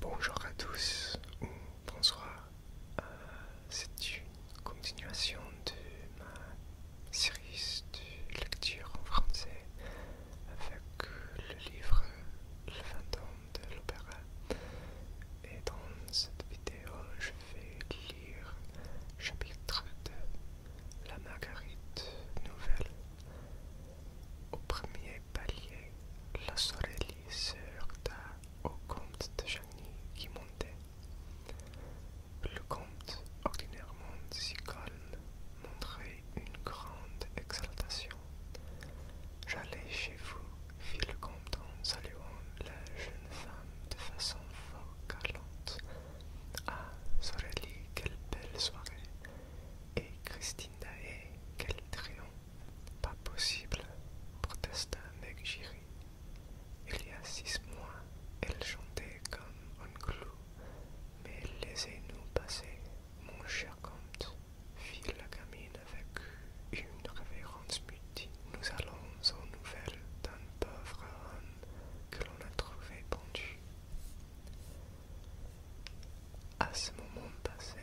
Bonjour à tous ou bonsoir. Euh, c'est une continuation de ma série de lecture en français avec le livre Le fantôme de l'opéra. Et dans cette vidéo, je vais lire chapitre de La Marguerite nouvelle. Au premier les la sorelie se heurta au comte de Chagny qui montait. Le comte, ordinairement si calme, montrait une grande exaltation. J'allais chez vous, fit le comte en saluant la jeune femme de façon fort galante. Ah, quelle belle soirée! Et Christina est quel triomphe Pas possible, protesta Giri. Il y a six mois, elle chantait comme un clou. Mais laissez-nous passer, mon cher comte, fit la gamine avec une révérence mutine. Nous allons aux nouvelles d'un pauvre homme que l'on a trouvé pendu. À ce moment passé,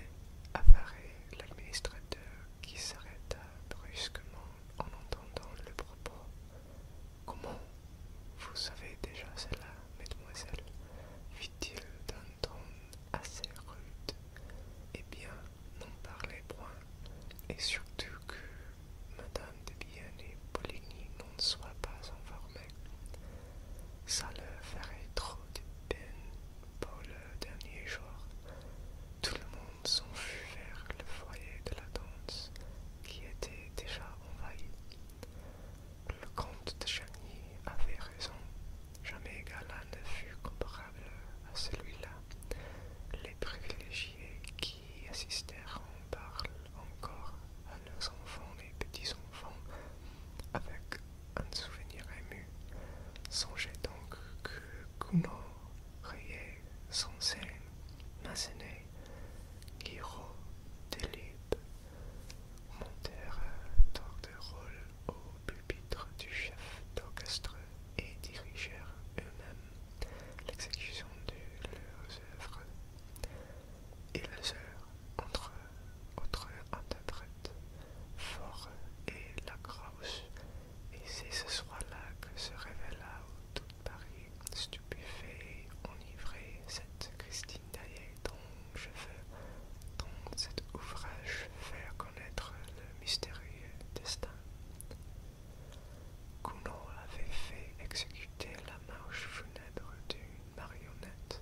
apparaît l'administrateur qui s'arrêta brusquement en entendant le propos. Comment Vous savez déjà cela, mademoiselle fit-il d'un ton assez rude. Eh bien, n'en parlez point, et surtout que Madame de Bien et Poligny n'en soit pas informée ça leur ferait trop de peine pour le dernier jour. Tout le monde s'enfuit vers le foyer de la danse qui était déjà envahi. Le comte de Chagny avait raison. Jamais Gala ne fut comparable à celui-là. Les privilégiés qui assistèrent en parlent encore à leurs enfants et petits-enfants avec un souvenir ému. Songez donc que Kumo, Rie Sensei, Masene Giro Delib montèrent tant de rôle au pupitre du chef d'orchestre et dirigèrent eux-mêmes l'exécution de leurs œuvres. Et leurs heures entre autre interprète, Fort et la et c'est ce soir-là que se révéla au tout Paris, stupéfait, enivré, cette Christine Daillet dont je veux, dans cet ouvrage, faire connaître le mystérieux destin. Kuno avait fait exécuter la marche funèbre du marionnette.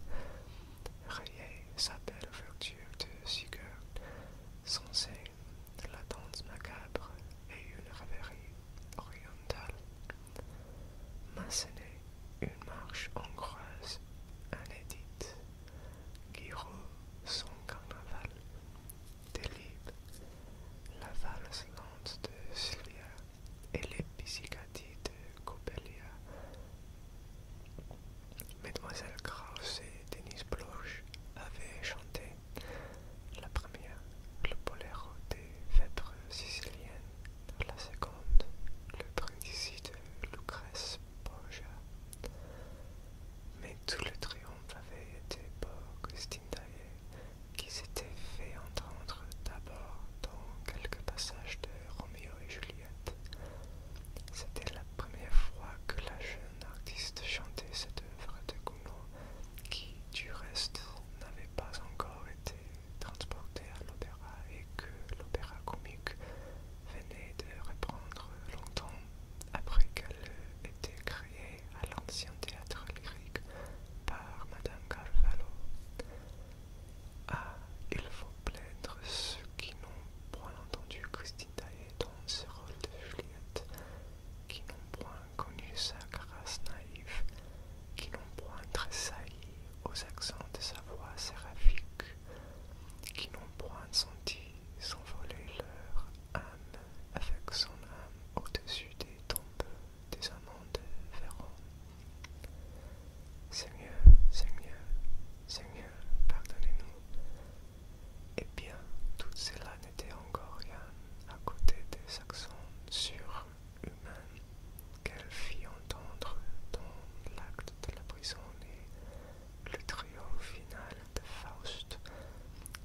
sa belle ouverture de Sigurd, censée de la danse macabre et une rêverie orientale. Massenet, une marche hongroise inédite. Guiraud, son carnaval. Delibes, la valse lente de Sylvia et les de Mademoiselle Krauss et Denise Bloch avaient chanté la première, le boléro des vêpres siciliennes, la seconde, le brindisi de Lucrèce Borgia. Mais tout le triomphe avait été pour Christine qui s'était fait entendre d'abord dans quelques passages de Roméo et Juliette. C'était la première fois que la jeune artiste chantait cette œuvre de Gounod, qui, du reste, n'avait pas encore été transportée à l'opéra et que l'opéra comique venait de reprendre longtemps après qu'elle ait été créée à l'ancien théâtre lyrique par Madame Carvalho. Ah, il faut plaire ceux qui n'ont point entendu Christina et dans ce rôle de Juliette, qui n'ont point connu sa grâce naïve, qui n'ont point tressailli aux accents de sa voix séraphique, qui n'ont point senti s'envoler leur âme avec son âme au-dessus des tombes des amants de Véron. Seigneur, Seigneur, Seigneur, pardonnez-nous. Eh bien, tout cela n'était encore rien à côté des accents surhumains qu'elle fit entendre dans l'acte de la prison et le trio final de Faust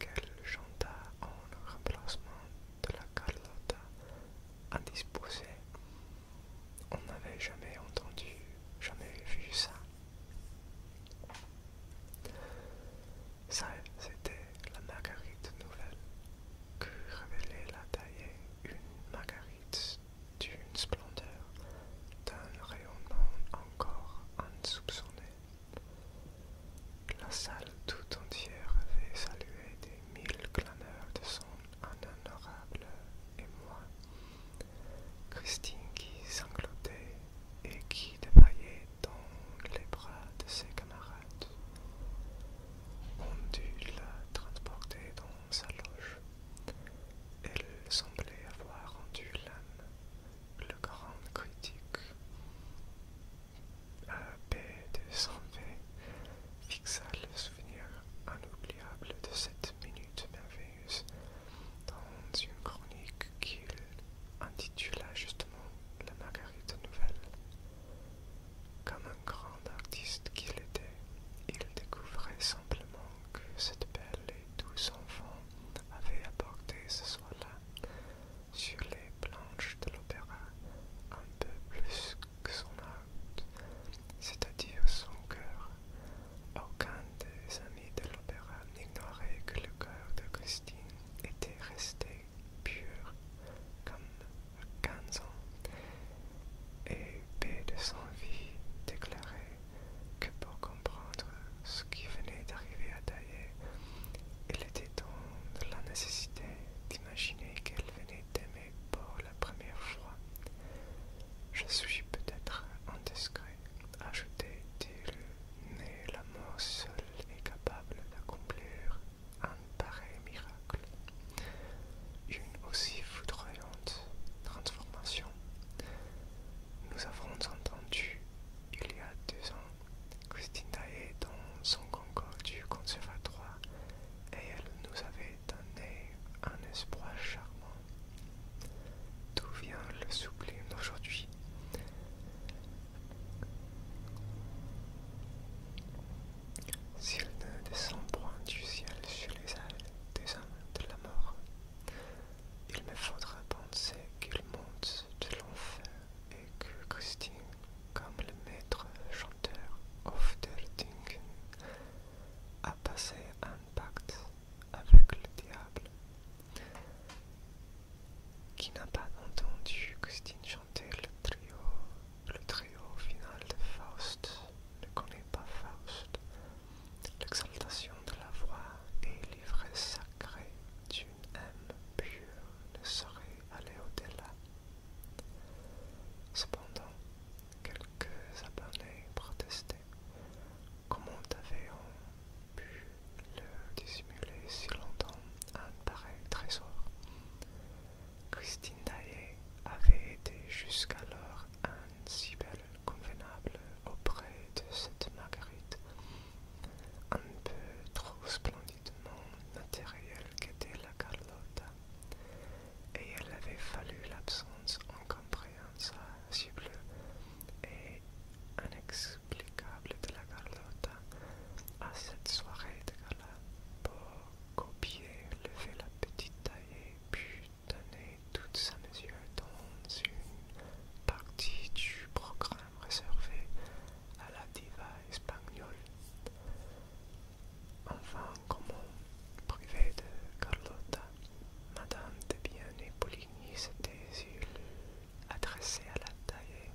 qu'elle chanta en remplacement de la Carlotta indisposée on n'avait jamais entendu, jamais vu ça. Ça, c'était la marguerite nouvelle que révélait la taille une marguerite d'une splendeur, d'un rayonnement encore insoupçonné. La salle tout entière avait salué des mille clameurs de son inhonorable et moi. Christine qui sanglotait et qui défaillait dans les bras de ses camarades. On dut la transporter dans sa loge. Elle semblait avoir rendu l'âme, le grand critique. paix de Saint-V fixa le souvenir inoubliable de cette minute merveilleuse dans une chronique qu'il intitula justement La Marguerite Nouvelle. Comme un grand artiste qu'il était, il découvrait simplement que cette belle et douce enfant avait apporté ce soir-là, sur les planches de l'opéra, un peu plus que son art, c'est-à-dire son cœur, aucun des amis de l'opéra n'ignorait que le cœur de Christine était resté pur comme à 15 ans, et P de son vie déclarait que pour comprendre ce qui venait d'arriver à Taillet, il était dans la nécessité d'imaginer qu'elle venait d'aimer pour la première fois. Je suis peut-être indiscret. Ajouter, le il mais mort seul est capable d'accomplir un pareil miracle. Une aussi foudroyante transformation. Nous avons entendu, il y a deux ans, Christine est dans son concours du conservatoire et elle nous avait un espoir charmant. D'où vient le sublime d'aujourd'hui S'il ne descend point du ciel sur les ailes des hommes de la mort, il me faudra penser qu'il monte de l'enfer et que Christine, comme le maître chanteur of Del a passé un pacte avec le diable, qui n'a pas entendu Christine chanter le trio, le trio final de Faust, ne connaît pas Faust, l'exaltation de la voix et l'ivresse sacrée d'une âme pure ne saurait aller au-delà. Cependant, quelques abonnés protestaient Comment avait-on pu le dissimuler si longtemps un pareil trésor Christine Daillet avait été jusqu'alors bel convenable auprès de cette Marguerite, un peu trop splendidement matérielle qu'était la Carlotta, et elle avait fallu l'absence encombrée expérience cible et inexplicable de la Carlotta à cette soirée de gala pour copier, lever la petite taille puis donner toute sa mesure dans une partie du programme réservé à la diva espagnole. Enfin, comment privé de Carlotta, Madame de bien et il s'était adressé à la taille.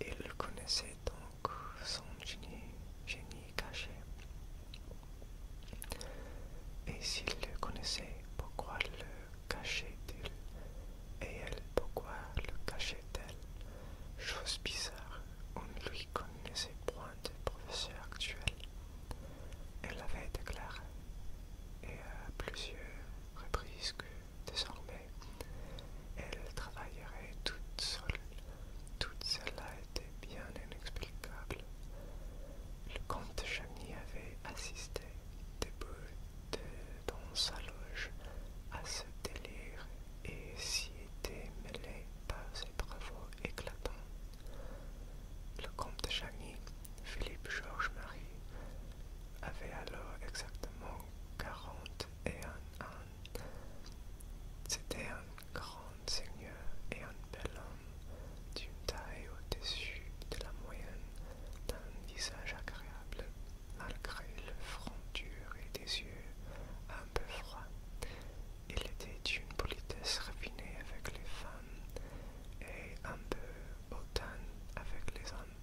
Il connaissait donc son génie, génie caché. Et s'il le connaissait, pourquoi le cachait-il Et elle, pourquoi le cachait-elle Chose bizarre, on ne lui connaissait point de professeur actuel. Elle avait déclaré, et à plusieurs reprises, que désormais, elle travaillerait toute seule. Tout cela était bien inexplicable. Le comte de avait assisté debout dans sa loge à ce délire et s'y était mêlé par ses travaux éclatants. Le comte de Chagny, Philippe-Georges-Marie, avait alors exactement quarante et un ans. C'était un grand seigneur et un bel homme d'une taille au-dessus de la moyenne, d'un visage agréable, malgré le front dur et des yeux un peu froids. Il était d'une politesse raffinée avec les femmes et un peu automne avec les hommes,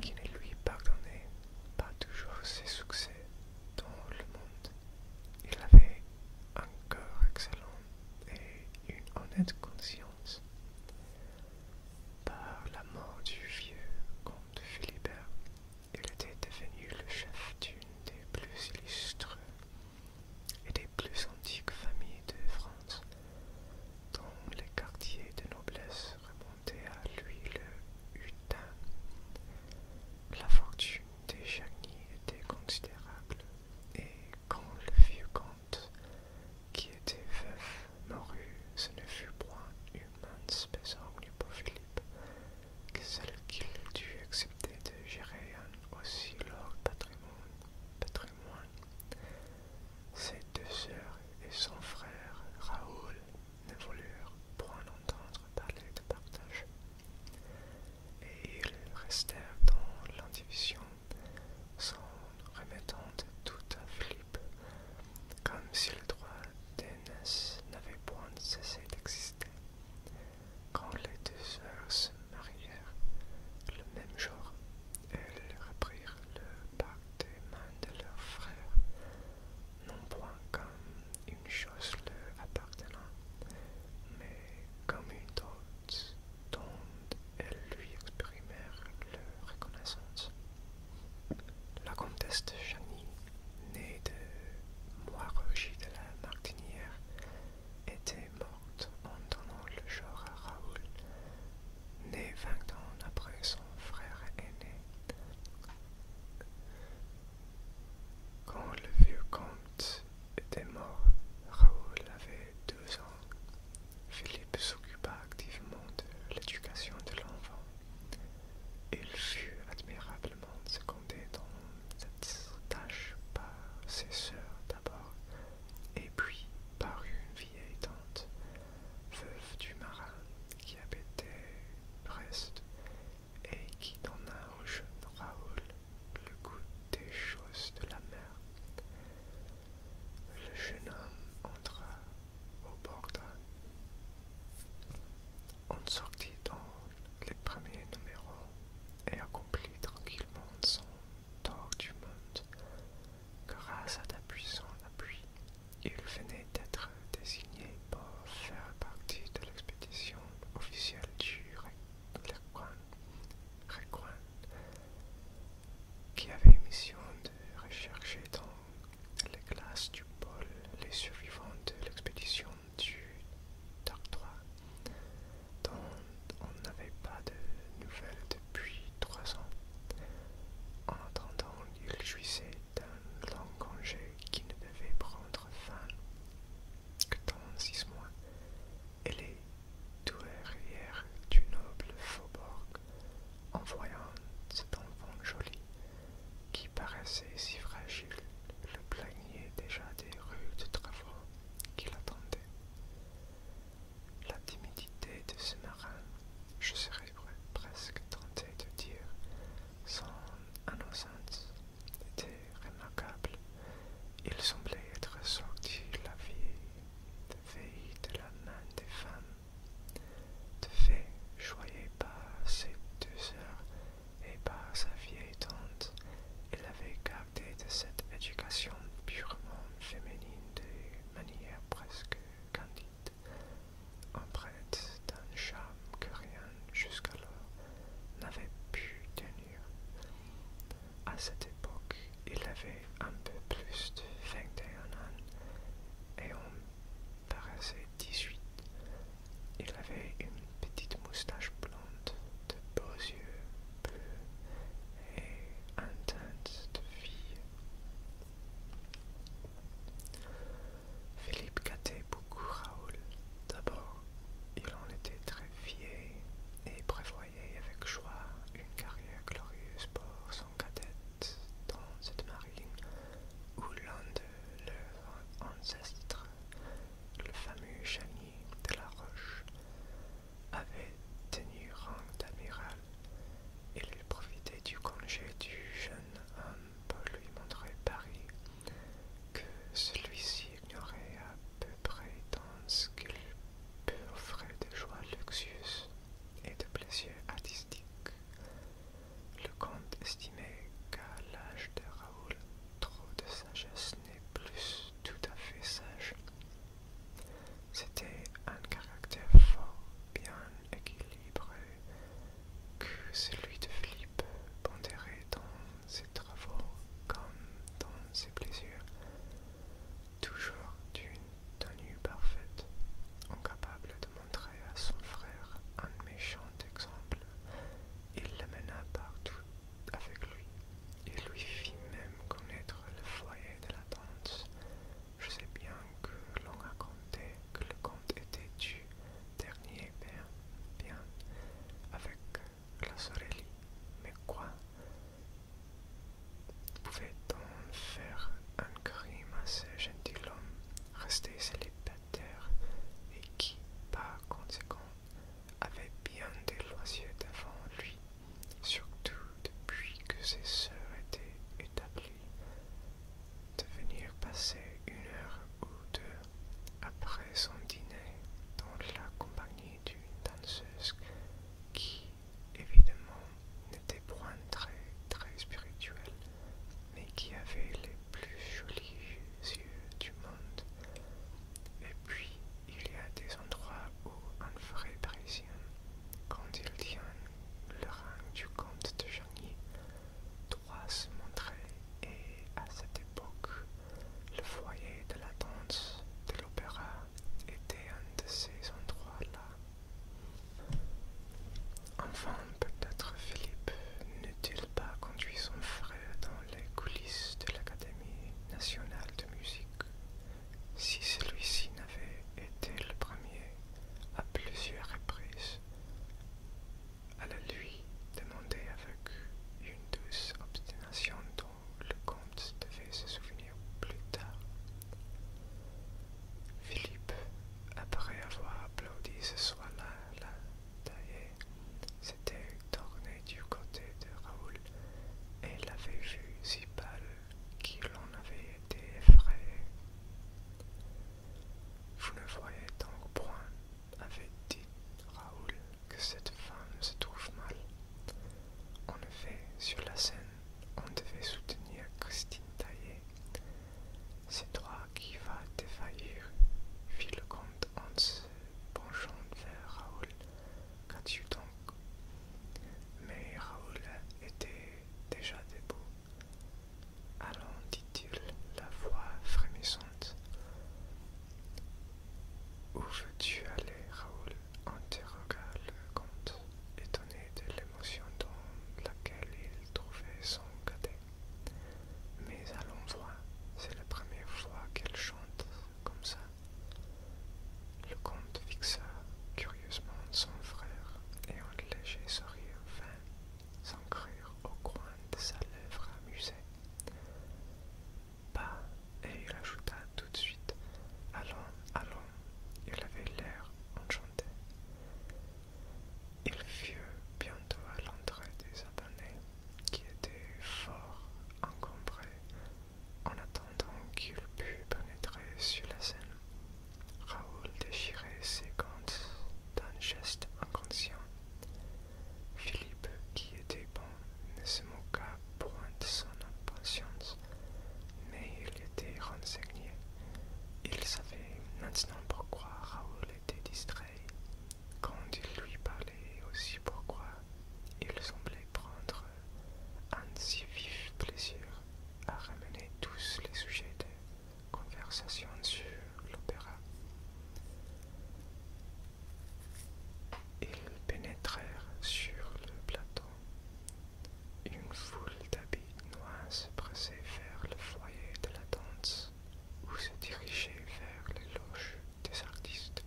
qui ne lui pardonnait pas toujours ses succès dans le monde. Il avait un corps excellent et une honnête conscience. Par la mort du vieux comte Philibert, il était devenu le chef d'une des plus illustres et des plus antiques familles de France, dont les quartiers de noblesse remontaient à Louis le Hutin. La fortune des Chagny était considérable, et quand le vieux comte, qui était veuf, mourut, ce ne fut point une mince pour Philippe, que celle qu'il dut accepter de gérer aussi leur patrimoine. Ses deux sœurs et son frère Raoul ne voulurent point entendre parler de partage, et ils restèrent dans l'indivision, sans remettant de tout à Philippe, comme si le droit d'aînesse n'avait point cessé d'exister. Quand les deux sœurs se marièrent le même jour, elles reprirent le parc des mains de leur frère, non point comme une chose leur appartenant, mais comme une autre dont elles lui exprimèrent leur reconnaissance. La comtesse de née de Moirurgie de la Martinière, était morte en donnant le genre à Raoul, né vingt ans après son frère aîné. Quand le vieux comte était mort, Raoul avait deux ans. Philippe s'occupa activement de l'éducation de l'enfant. Il fut admirablement secondé dans cette tâche par ses sœurs d'abord, et puis par une vieille tante, veuve du marin, qui habitait Brest, et qui donna au jeune Raoul le goût des choses de la mer. Le jeune homme entra au bord on sortit dans les premiers numéros et accomplit tranquillement du monde. Grâce à ta puissante appui, il venait d'être désigné pour faire partie de l'expédition officielle du Rekwan, qui avait mission de rechercher dans les glaces du pôle les survivants de l'expédition du Dark dont on n'avait pas de nouvelles depuis trois ans. En attendant, il jouissait d'un long congé qui ne devait prendre fin que dans six mois, et les douairières du noble faubourg, en voyant cet enfant joli qui paraissait si fragile, le plaignait déjà des de travaux qui l'attendait. La timidité de ce marin, je serais presque tenté de dire, son innocence était remarquable. Il semblait être sorti la vie veille de la main des femmes. De fait, joyé par ses deux heures et par sa vieille tante, il avait de cette éducation purement féminine de manière presque candide, empreinte d'un charme que rien jusqu'alors n'avait pu tenir. À cette époque, il avait un peu plus de 21 ans et on paraissait 18. Il avait une petite moustache blonde, de beaux yeux bleus et un de fille. Philippe gâtait beaucoup Raoul. D'abord, il en était très fier et prévoyait avec joie une carrière glorieuse pour son cadette dans cette marine où l'un de leurs ancêtres, le fameux chany de la Roche avait tenu rang d'amiral. et Il profitait du congé du jeune homme pour lui montrer Paris, que celui-ci ignorait à peu près dans ce qu'il peut offrir de joies luxueuses et de plaisirs artistiques. Le comte estimait qu'à l'âge de Raoul, trop de sagesse n'est plus tout à fait sage. C'était un caractère fort, bien équilibré, que celui de Philippe pondérait dans ses travaux comme dans ses plaisirs, toujours d'une tenue parfaite, incapable de montrer à son frère un méchant exemple. Il l'amena partout avec lui et lui fit même connaître le foyer de la tante. Je sais bien que l'on compté que le comte était du dernier bien, bien avec la Sorelli, mais quoi Pouvait-on faire un crime à ce gentilhomme resté célibataire et qui, par conséquent, avait bien des loisirs devant lui, surtout depuis que ses sœurs étaient établies, de venir passer une heure ou deux après son dîner dans la compagnie d'une danseuse qui, évidemment, n'était point très, très spirituelle, mais qui avait les plus jolis yeux du monde. Et puis, il y a des endroits où un vrai parisien, quand il tient le rang du comte de Chagny, doit se montrer et à cette époque, le foyer de la danse de l'opéra était un de ces endroits-là. Enfin, peut-être Philippe n'eût-il pas conduit son frère dans les coulisses de l'Académie nationale de musique si celui-ci n'avait été le premier à plusieurs reprises à la lui demander avec une douce obstination dont le comte devait se souvenir plus tard. Philippe, après avoir applaudi ce soir-là la taillé s'était tourné du côté de Raoul et l'avait vu si pâle qu'il en avait été effrayé. Vous ne voyez donc point, avait dit Raoul, que cette femme se trouve mal. En effet, sur la scène, on devait soutenir Christine Taillé. C'est toi qui vas défaillir, fit le comte en se penchant vers Raoul Qu'as-tu donc. Mais Raoul était déjà debout. Allons, dit-il, la voix frémissante. Où veux-tu aller, Raoul interrogea le comte, étonné de l'émotion dans laquelle il trouvait son cadet. Mais allons voir, c'est la première fois qu'elle chante comme ça. Le comte fixa curieusement son frère et un léger sourire vint s'encrire au coin de sa lèvre amusée. et il ajouta tout de suite Allons, allons, il avait l'air enchanté. Il fut bientôt à l'entrée des abonnés qui étaient fort encombrés en attendant qu'il pût pénétrer sur la scène. Raoul déchirait ses gants d'un geste inconscient. Philippe, qui était bon, ne se moqua point de son impatience, mais il était renseigné. Il savait maintenant pourquoi Raoul était distrait. Quand il lui parlait aussi pourquoi, il semblait prendre un si vif plaisir à ramener tous les sujets de conversation sur l'opéra. Ils pénétrèrent sur le plateau. Une foule d'habits noirs se pressait vers le foyer de la danse ou se dirigeait vers les loges des artistes.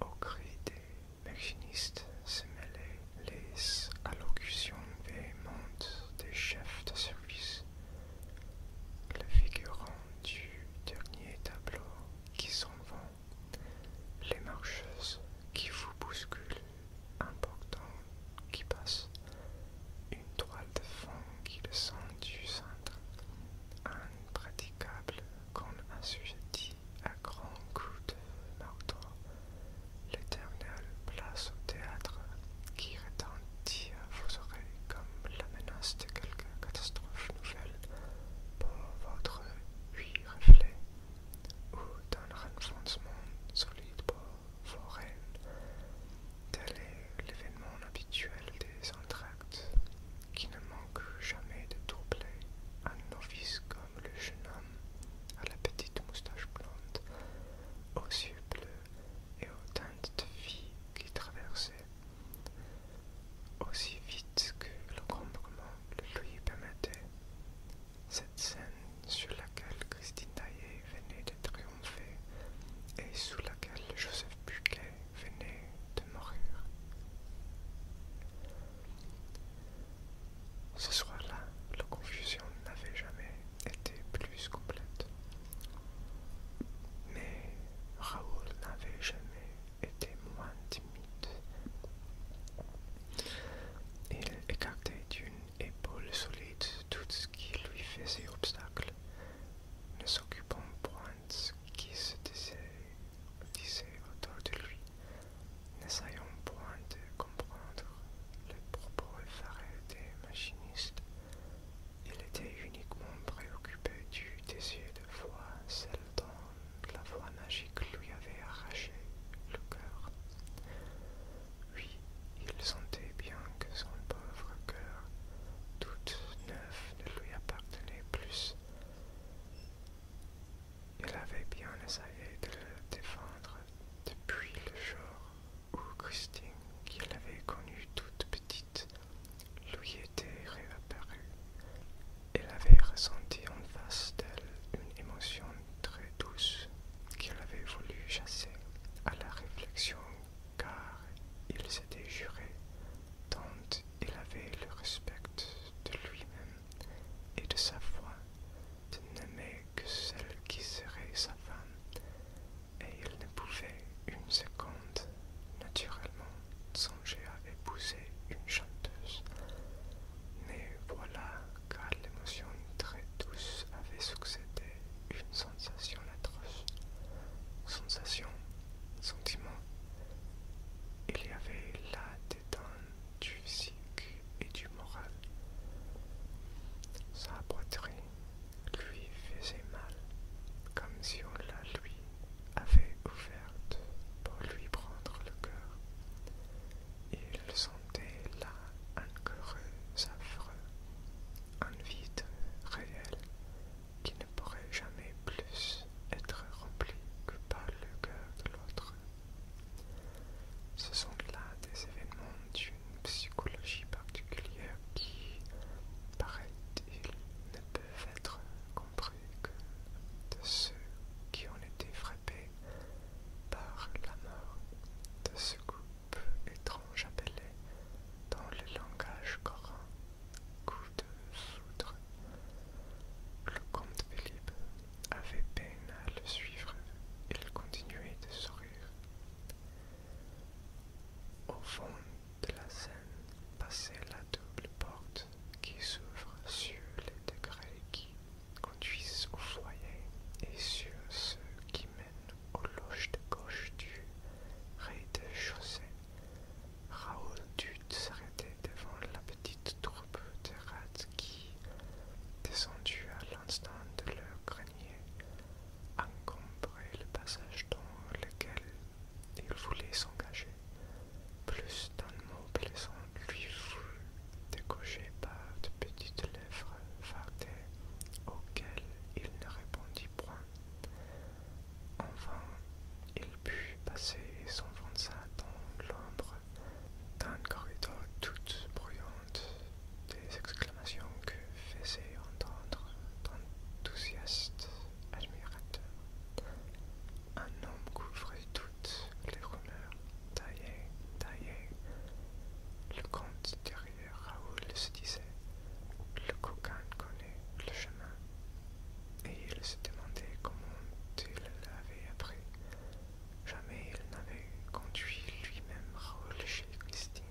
Au cri des machiniste se mêlent, les allocutions véhémentes des chefs de service. Le figurant du dernier tableau qui s'en vont, les marcheuses qui vous bousculent, portant qui passe, une toile de fond qui descend du centre, impraticable quand un dit à grand coups de marteau l'éternel place au théâtre qui retentit à vos oreilles comme la menace de quelque catastrophe nouvelle pour votre huit reflets ou d'un renfoncement solide pour vos rênes. Tel est l'événement habituel des entractes qui ne manque jamais de troubler un novice comme le jeune homme à la petite moustache blonde, aux yeux bleus et aux teintes de vie qui traversaient, aussi vite que le grand le lui permettait. Cette scène sur laquelle Christine Taillet venait de triompher et sous laquelle Joseph Buquet venait de ce soir-là, la confusion n'avait jamais été plus complète. Mais Raoul n'avait jamais été moins timide. Il écartait d'une épaule solide tout ce qui lui faisait obstacle, ne s'occupant point de ce qui se disait disait autour de lui. n'essayant point de comprendre les propos effarés des machinistes. Il était uniquement préoccupé du désir de voir celle dont la voix magique lui avait arraché le cœur. Oui, il sentait bien que son pauvre cœur, toute neuf, ne lui appartenait plus. Elle avait bien essayé de le défendre depuis le jour où Christine, qu'il avait connue toute petite, lui était réapparue. Elle avait ressenti en face d'elle une émotion très douce qu'elle avait voulu chasser à la réflexion car il s'était juré tant il avait le respect de lui-même et de sa foi de n'aimer que celle qui serait sa femme, et il ne pouvait une seconde naturellement songer à épouser une chanteuse. Mais voilà car l'émotion très douce avait succédé une sensation atroce. Sensation, sentiment. Il y avait là dents du physique et du moral. Sa poitrine lui faisait mal, comme si on la lui avait ouverte pour lui prendre le cœur. Il sentait là un cœur affreux, un vide réel qui ne pourrait jamais plus être rempli que par le cœur de l'autre. Ce sont là des événements d'une psychologie particulière qui, paraît-il, ne peuvent être compris que de ceux qui ont été frappés par la mort de ce groupe étrange appelé dans le langage coran coup de soudre ». Le comte Philippe avait peine à le suivre, il continuait de sourire. Au fond de la scène passait la double porte qui s'ouvre sur les degrés qui conduisent au foyer et sur ceux qui mènent aux loges de gauche du rez-de-chaussée. Raoul dut s'arrêter devant la petite troupe de rats qui, descendue à l'instant de leur grenier, encombrait le passage dans lequel il voulait s'engager. Plus d'un mot plaisant lui fut décoché par de petites lèvres fardées auxquelles il ne répondit point. Enfin, il put passer son ventre dans l'ombre d'un corridor toute bruyante, des exclamations que faisait entendre d'enthousiastes admirateurs. Un homme couvrait toutes les rumeurs, taillées taillées Le comte derrière Raoul se disait Le coquin connaît le chemin. Et il se demandait comment il l'avait appris. Jamais il n'avait conduit lui-même Raoul chez Christine.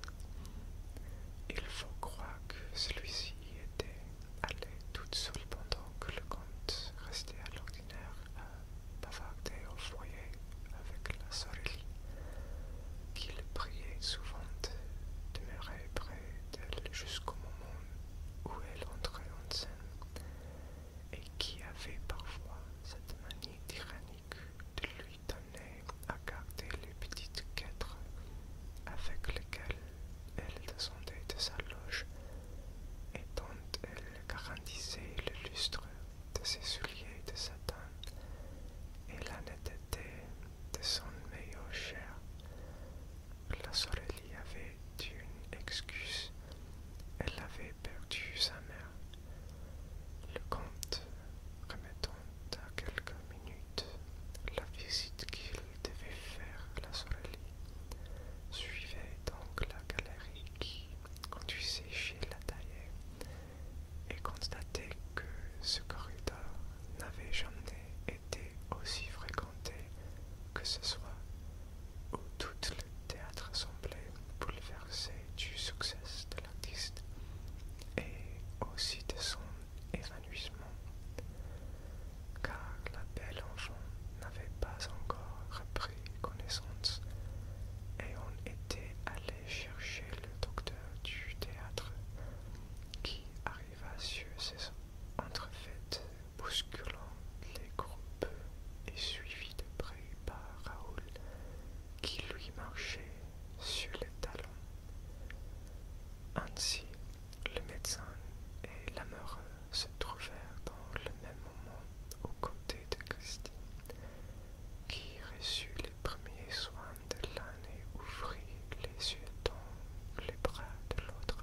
Il faut croire que celui-ci était allé toute seul pendant que le comte restait à l'ordinaire à au foyer avec la sorelle qu'il priait souvent de demeurer près d'elle jusqu'au moment où elle entrait en scène et qui avait parfois cette manie tyrannique de lui donner à garder les petites quêtres avec lesquelles elle descendait de sa loge et dont elle garantissait le lustre de ses souliers de satin et la netteté de son meilleur chair. La soleil y avait une excuse. Elle avait perdu sa mère. Le comte, remettant à quelques minutes la visite qu'il devait faire à la sorelle suivait donc la galerie qui conduisait chez la et constatait que ce corridor n'avait jamais été aussi fréquenté que ce soit où tout le théâtre semblait bouleversé du succès de l'artiste et aussi de son évanouissement, car la belle enfant n'avait pas encore repris connaissance et on était allé chercher le docteur du théâtre qui arriva sur ses entrefaites bousculant les groupes et suivi de près par Raoul qui lui marchait sur les talons. Ainsi, le médecin et l'amoureux se trouvèrent dans le même moment aux côtés de Christine, qui reçut les premiers soins de l'un et ouvrit les yeux dans les bras de l'autre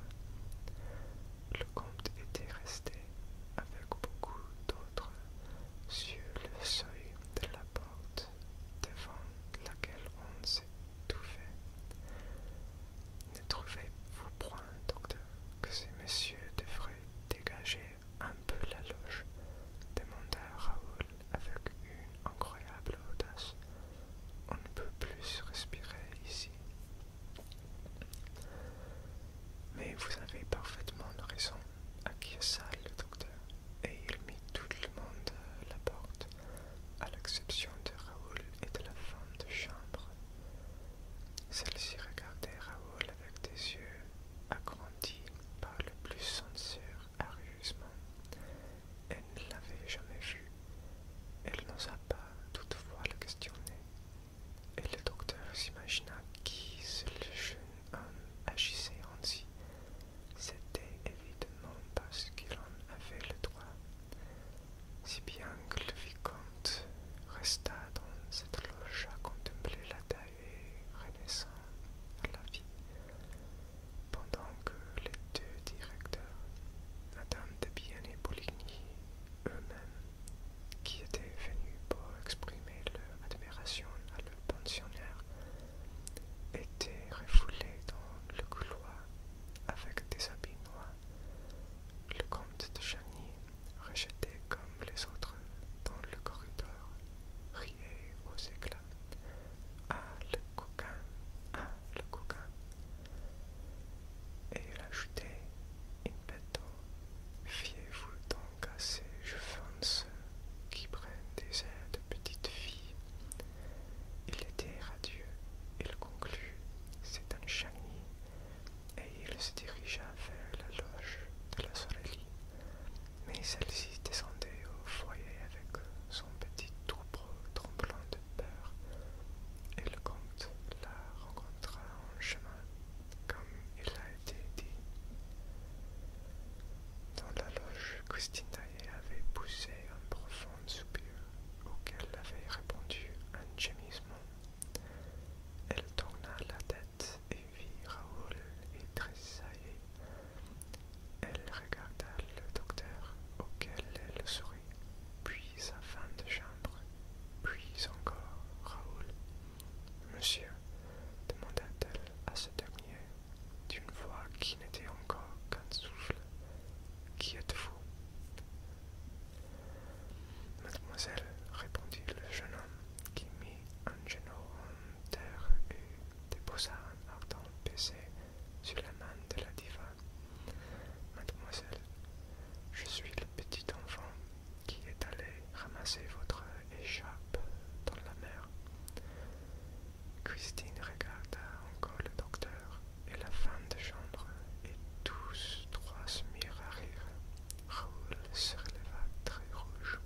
le comte était resté avec beaucoup d'autres sur le seuil de la porte devant laquelle on tout fait. Ne trouvez-vous point, docteur, que ces messieurs devraient dégager un peu la loge demanda Raoul avec une incroyable audace. On ne peut plus respirer ici. Mais vous avez parfaitement raison, acquiesça le docteur, et il mit tout le monde à la porte, à l'exception de Raoul et de la femme de chambre. Celle-ci regardait Raoul avec des yeux agrandis par le plus sincère arriusement. Elle ne l'avait jamais vu. Elle n'osa pas toutefois le questionner, et le docteur s'imagina qui le jeune homme agissait ainsi. C'était évidemment parce qu'il en avait le droit, si bien que le vicomte resta dans cette loge à contempler la taille renaissant à la vie, pendant que les deux directeurs, Madame de Bien et Bouligny eux-mêmes, qui était venu pour exprimer leur admiration à le pensionnaire, était refoulé dans le couloir avec des habits noirs. Le comte de Chagny, rejeté comme les autres dans le corridor, riait aux éclats. Ah, le coquin, ah, le coquin. Et il ajoutait bête, fiez-vous donc à ces gens qui prennent des airs de petites filles. Il était radieux, il conclut, c'est un chagny, et il se dirigea vers la loge de la sorelie. mais celle-ci descendait au foyer avec son petit troupeau tremblant de peur, et le comte la rencontra en chemin comme il a été dit. Dans la loge, Christinae avait poussé un profond soupir auquel avait répondu un gémissement. Elle tourna la tête et vit Raoul et Elle regarda le docteur auquel elle sourit, puis sa femme de chambre, puis encore Raoul Monsieur, demanda-t-elle à ce dernier, d'une voix qui n'était encore qu'un souffle, qui êtes-vous Mademoiselle, répondit le jeune homme, qui mit un genou en terre et déposa un ardent baiser sur la main de la diva. Mademoiselle, je suis le petit enfant qui est allé ramasser votre écharpe dans la mer. Christine regarda encore le docteur et la femme de chambre, et tous trois se mirent à rire. Raoul se releva très rouge.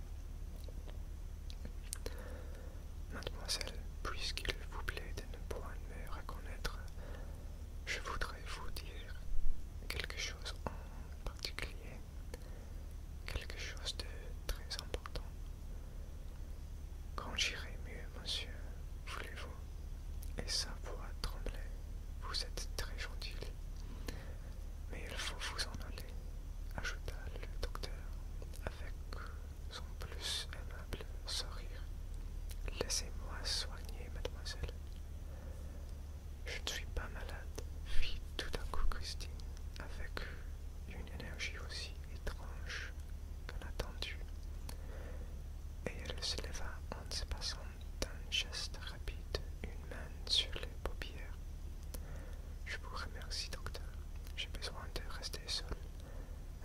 Mademoiselle, puisqu'il vous plaît de ne point me reconnaître, je voudrais vous dire quelque chose en particulier, quelque chose de très important. Quand j'irai mieux, monsieur, voulez-vous Et sa voix tremblait. Vous êtes très gentil. Mais il faut vous en aller, ajouta le docteur avec son plus aimable sourire. Laissez-moi soigner, mademoiselle. Je ne suis pas malade, fit tout à coup Christine, avec une énergie aussi étrange qu'inattendue, et elle se leva en se passant d'un geste rapide une main sur les paupières. Je vous remercie, docteur. J'ai besoin de rester seul.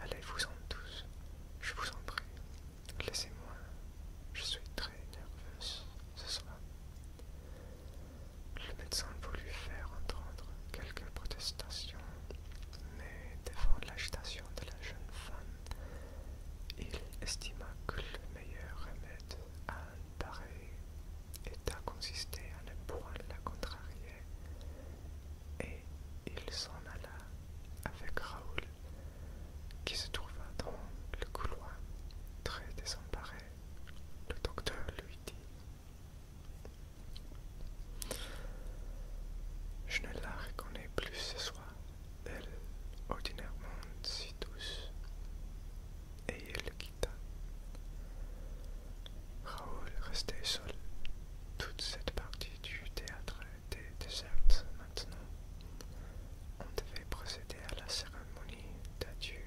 Allez-vous en tous. Je vous en prie. Laissez-moi. Je suis très nerveuse ce soir. Le médecin voulut faire entendre quelques protestations, mais devant l'agitation de la jeune femme, il estima que le meilleur remède à un pareil état consistait à ne point la contrarier, et il s'en alla avec Raoul, qui se trouva dans le couloir très désemparé paraît, le docteur lui dit. Je ne la reconnais plus ce soir, elle, ordinairement si douce. Et il le quitta. Raoul restait seul. Toute cette partie du théâtre était déserte maintenant. On devait procéder à la cérémonie. Moni d'adieu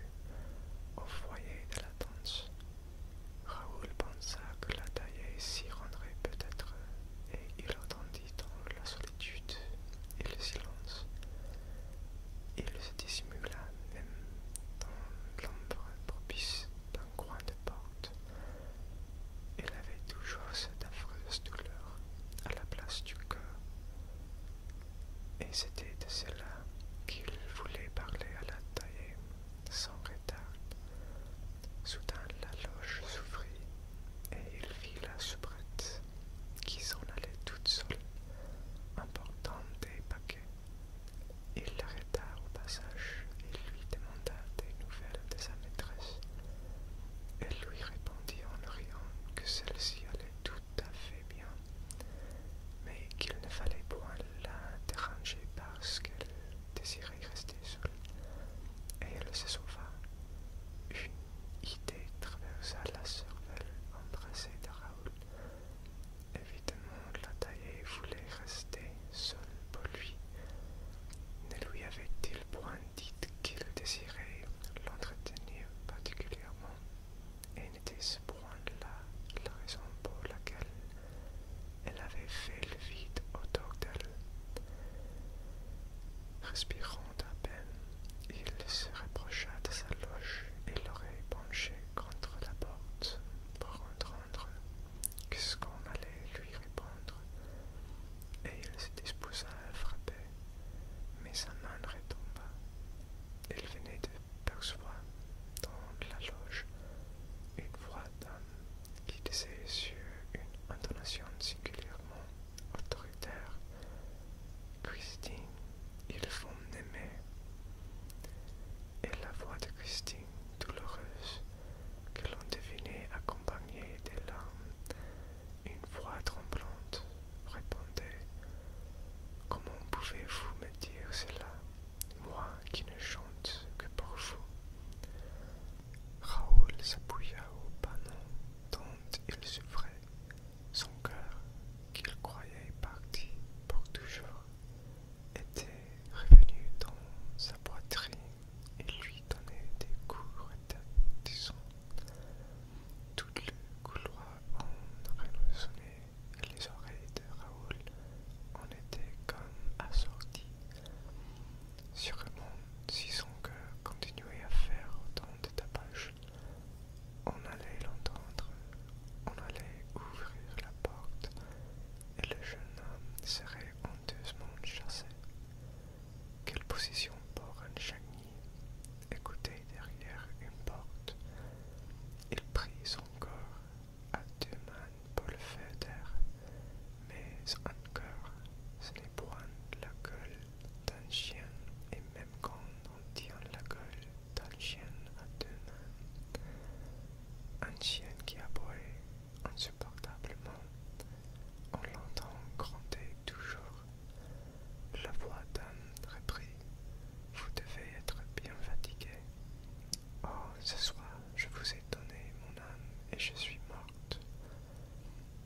au foyer de la danse. Raoul pensa que la taille s'y rendrait peut-être, et il entendit dans la solitude et le silence. Il se dissimula même dans l'ombre propice d'un coin de porte. Il avait toujours cette affreuse douleur à la place du cœur. Et c'était de cela qu'il voulait parler à la taille, sans retard. Soudain la loge s'ouvrit, et il vit la soubrette, qui s'en allait toute seule, emportant des paquets. Il l'arrêta au passage et lui demanda des nouvelles de sa maîtresse. Elle lui répondit en riant que celle-ci allait tout à fait bien mais qu'il ne fallait point la déranger parce qu'elle désirait rester seule. Et elle se sauva. Une idée traversa la cervelle embrassée de Raoul. Évidemment, la taille voulait rester seule pour lui. Ne lui avait-il point dit qu'il désirait l'entretenir particulièrement et n'était ce point-là la raison pour laquelle elle avait fait le vide autour d'elle. Respirant à peine, il se rapprocha de sa loge et l'aurait penché contre la porte pour entendre quest ce qu'on allait lui répondre, et il se disposa à frapper, mais sa main retomba il venait de percevoir dans la loge une voix d'homme qui disait sur une intonation singulièrement autoritaire Christine, il faut m'aimer. Et la voix de Christine, douloureuse, que l'on devinait accompagnée des larmes, une voix tremblante répondait Comment pouvez-vous me dire cela, moi qui ne chante que pour vous Raoul s'appuya au panneau dont il souffrait, son cœur, qu'il croyait parti pour toujours, était revenu dans sa poitrine et lui donnait des coups de tout le couloir en résonnait, les oreilles de Raoul en étaient comme assorties. Sûrement, si son cœur continuait à faire autant de tapages, on allait l'entendre, on allait ouvrir la porte et le jeune homme serait honteusement chassé. Quelle position pour un chagrin Écoutez derrière une porte. Il prit son corps à deux mains pour le faire mais encore, ce n'est point la gueule d'un chien, et même quand on tient la gueule d'un chien à deux mains, un chien qui aboie insupportablement, on l'entend gronder toujours la voix d'âme reprit. Vous devez être bien fatigué. Oh, ce soir, je vous ai donné mon âme et je suis morte.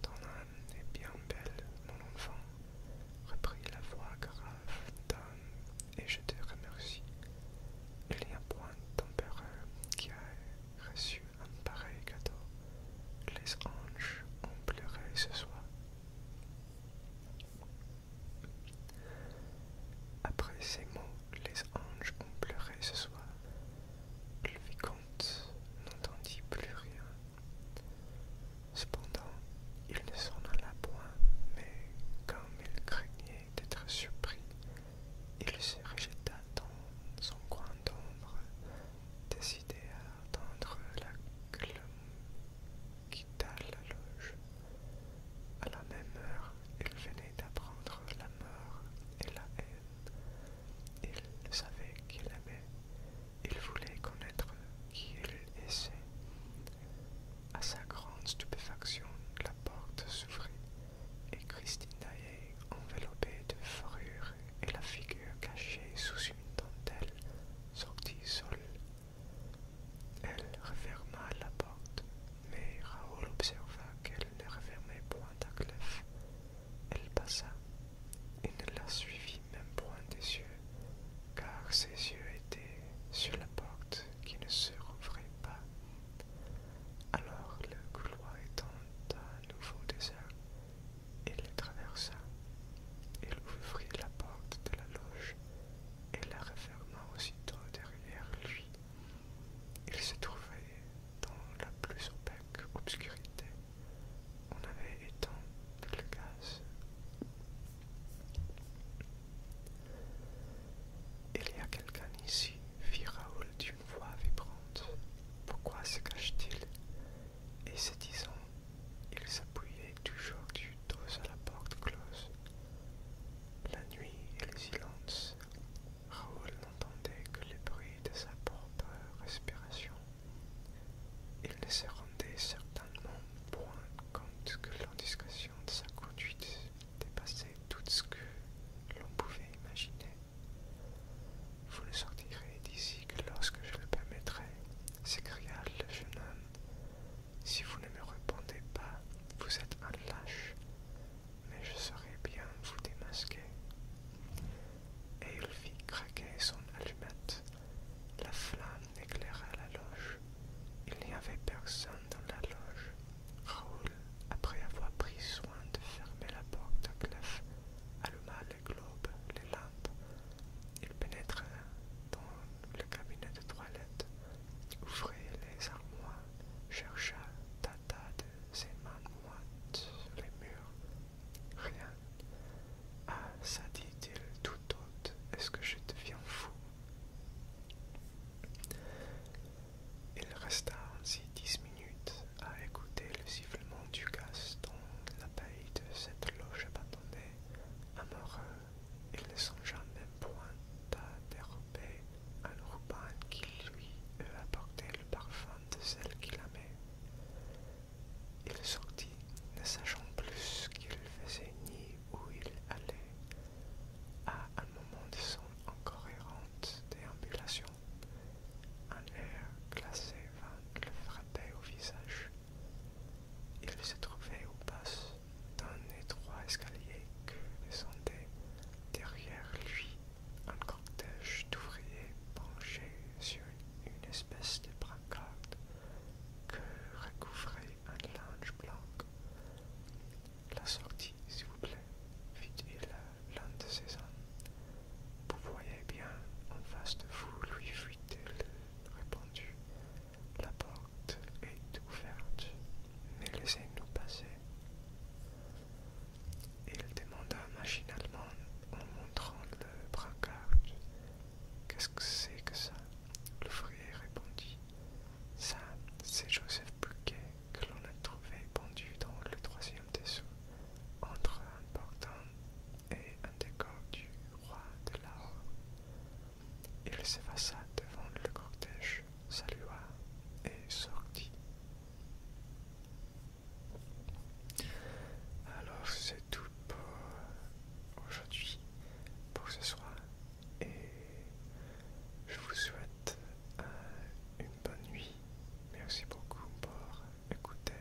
Ton âme est bien belle, mon enfant, reprit la voix grave d'âme, et je te remercie. Il n'y a point d'empereur qui a reçu un pareil cadeau. Les anges ont pleuré ce soir. Après ces mots, les anges ont pleuré ce soir. Le vicomte n'entendit plus rien. Cependant, il ne s'en alla point, mais comme il craignait d'être surpris, il se rejeta dans son coin d'ombre, décidé à attendre la quitta la loge. À la même heure, il venait d'apprendre la mort et la haine. Il savait qu'il aimait. Il voulait connaître qui il était. À sa grande stupéfaction, la porte s'ouvrit et Christine enveloppée de fourrure et la figure cachée sous une dentelle, sortit seule elle referma la porte, mais Raoul observa qu'elle ne refermait point à clef. Elle passa et ne la suivit même point des yeux, car ses yeux étaient sur la porte qui ne se rouvrait pas. Alors le couloir étant à nouveau désert, il les traversa. Il ouvrit la porte de la loge et la referma aussitôt derrière lui. Il se trouvait dans la plus opaque obscurité. On avait éteint le gaz. Il y a quelqu'un ici, fit Raoul d'une voix vibrante. Pourquoi se cache-t-il Et se disant il s'appuyait toujours du dos à la porte close. La nuit et le silence, Raoul n'entendait que les bruits de sa propre respiration. Il ne se rendait certainement point compte que l'indiscrétion de sa conduite dépassait tout ce que l'on pouvait imaginer. Vous le sortirez d'ici que lorsque je le permettrai, s'écria le jeune homme si vous ne me répondez pas, vous êtes un lâche, mais je saurai bien vous démasquer. Et il fit craquer son allumette. La flamme éclaira la loge. Il n'y avait personne dans la loge. Raoul, après avoir pris soin de fermer la porte à clef, alluma les globes, les lampes. Il pénétra dans le cabinet de toilette, ouvrit les armoires, chercha Tata de ses mains moites sur les murs. Rien. Ah, ça dit-il tout haut est-ce que je deviens fou Il resta ainsi dix minutes à écouter le sifflement du gaz dans la paille de cette loge abandonnée, amoureux il ne songea même point à dérober un ruban qui lui eût apporté le parfum de celle qu'il aimait. Il sortit, ne sachant plus qu'il faisait ni où il allait, à un moment de son incohérente déambulation. Un air glacé vint le frapper au visage. Il se trouvait au bas d'un étroit escalier que descendait derrière lui un cortège d'ouvriers penchés sur une espèce de brancard que recouvrait un linge blanc. La sortie, s'il vous plaît, fit-il l'un de ses hommes. Vous voyez bien, en face de vous, lui fuit il répondu, la porte est ouverte, mais laissez-nous passer. Il demanda machinalement en montrant le brancard. Qu'est-ce que c'est que ça L'ouvrier répondit. Ça, c'est Joseph Buquet que l'on a trouvé pendu dans le troisième dessous, entre un portant et un décor du roi de Lahore. Il s'effaça devant le cortège, salua et sortit. Alors c'est tout pour aujourd'hui, pour ce soir, et je vous souhaite une bonne nuit. Merci beaucoup pour écouter.